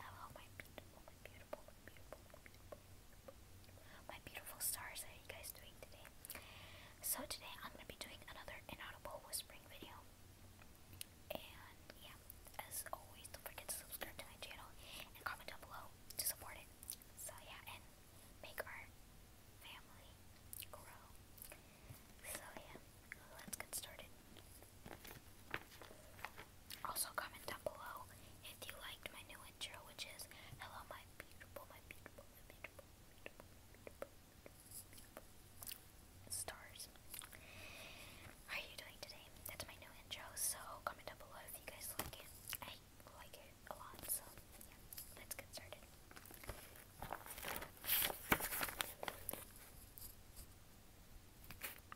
Hello, my beautiful, my beautiful, my beautiful, my beautiful, my beautiful stars. How are you guys doing today? So today I'm gonna be doing another inaudible whispering video. And yeah, as always, don't forget to subscribe to my channel and comment down below to support it. So yeah, and make our family grow. So yeah, let's get started. Also, comment down below if you liked my new intro, which is Hello, my beautiful, my beautiful, my beautiful, stars. are you doing today? That's my new intro, so comment down below if you guys like it. I like it a lot, so yeah, let's get started.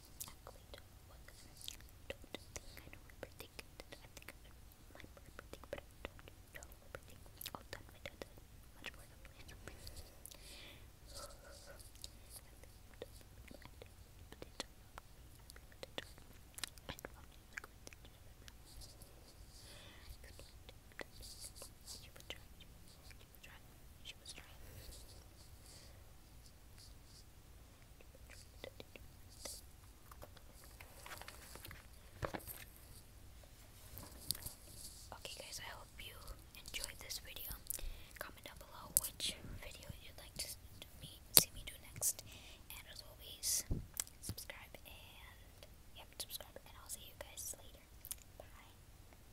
actually don't know what kind of, don't think I know everything. I think I might know everything, but I don't know everything. I've done my dad much more than my something. I Okay guys, I hope you enjoyed this video. Comment down below which video you'd like to see me do next. And as always, subscribe and yep, subscribe and I'll see you guys later. Bye.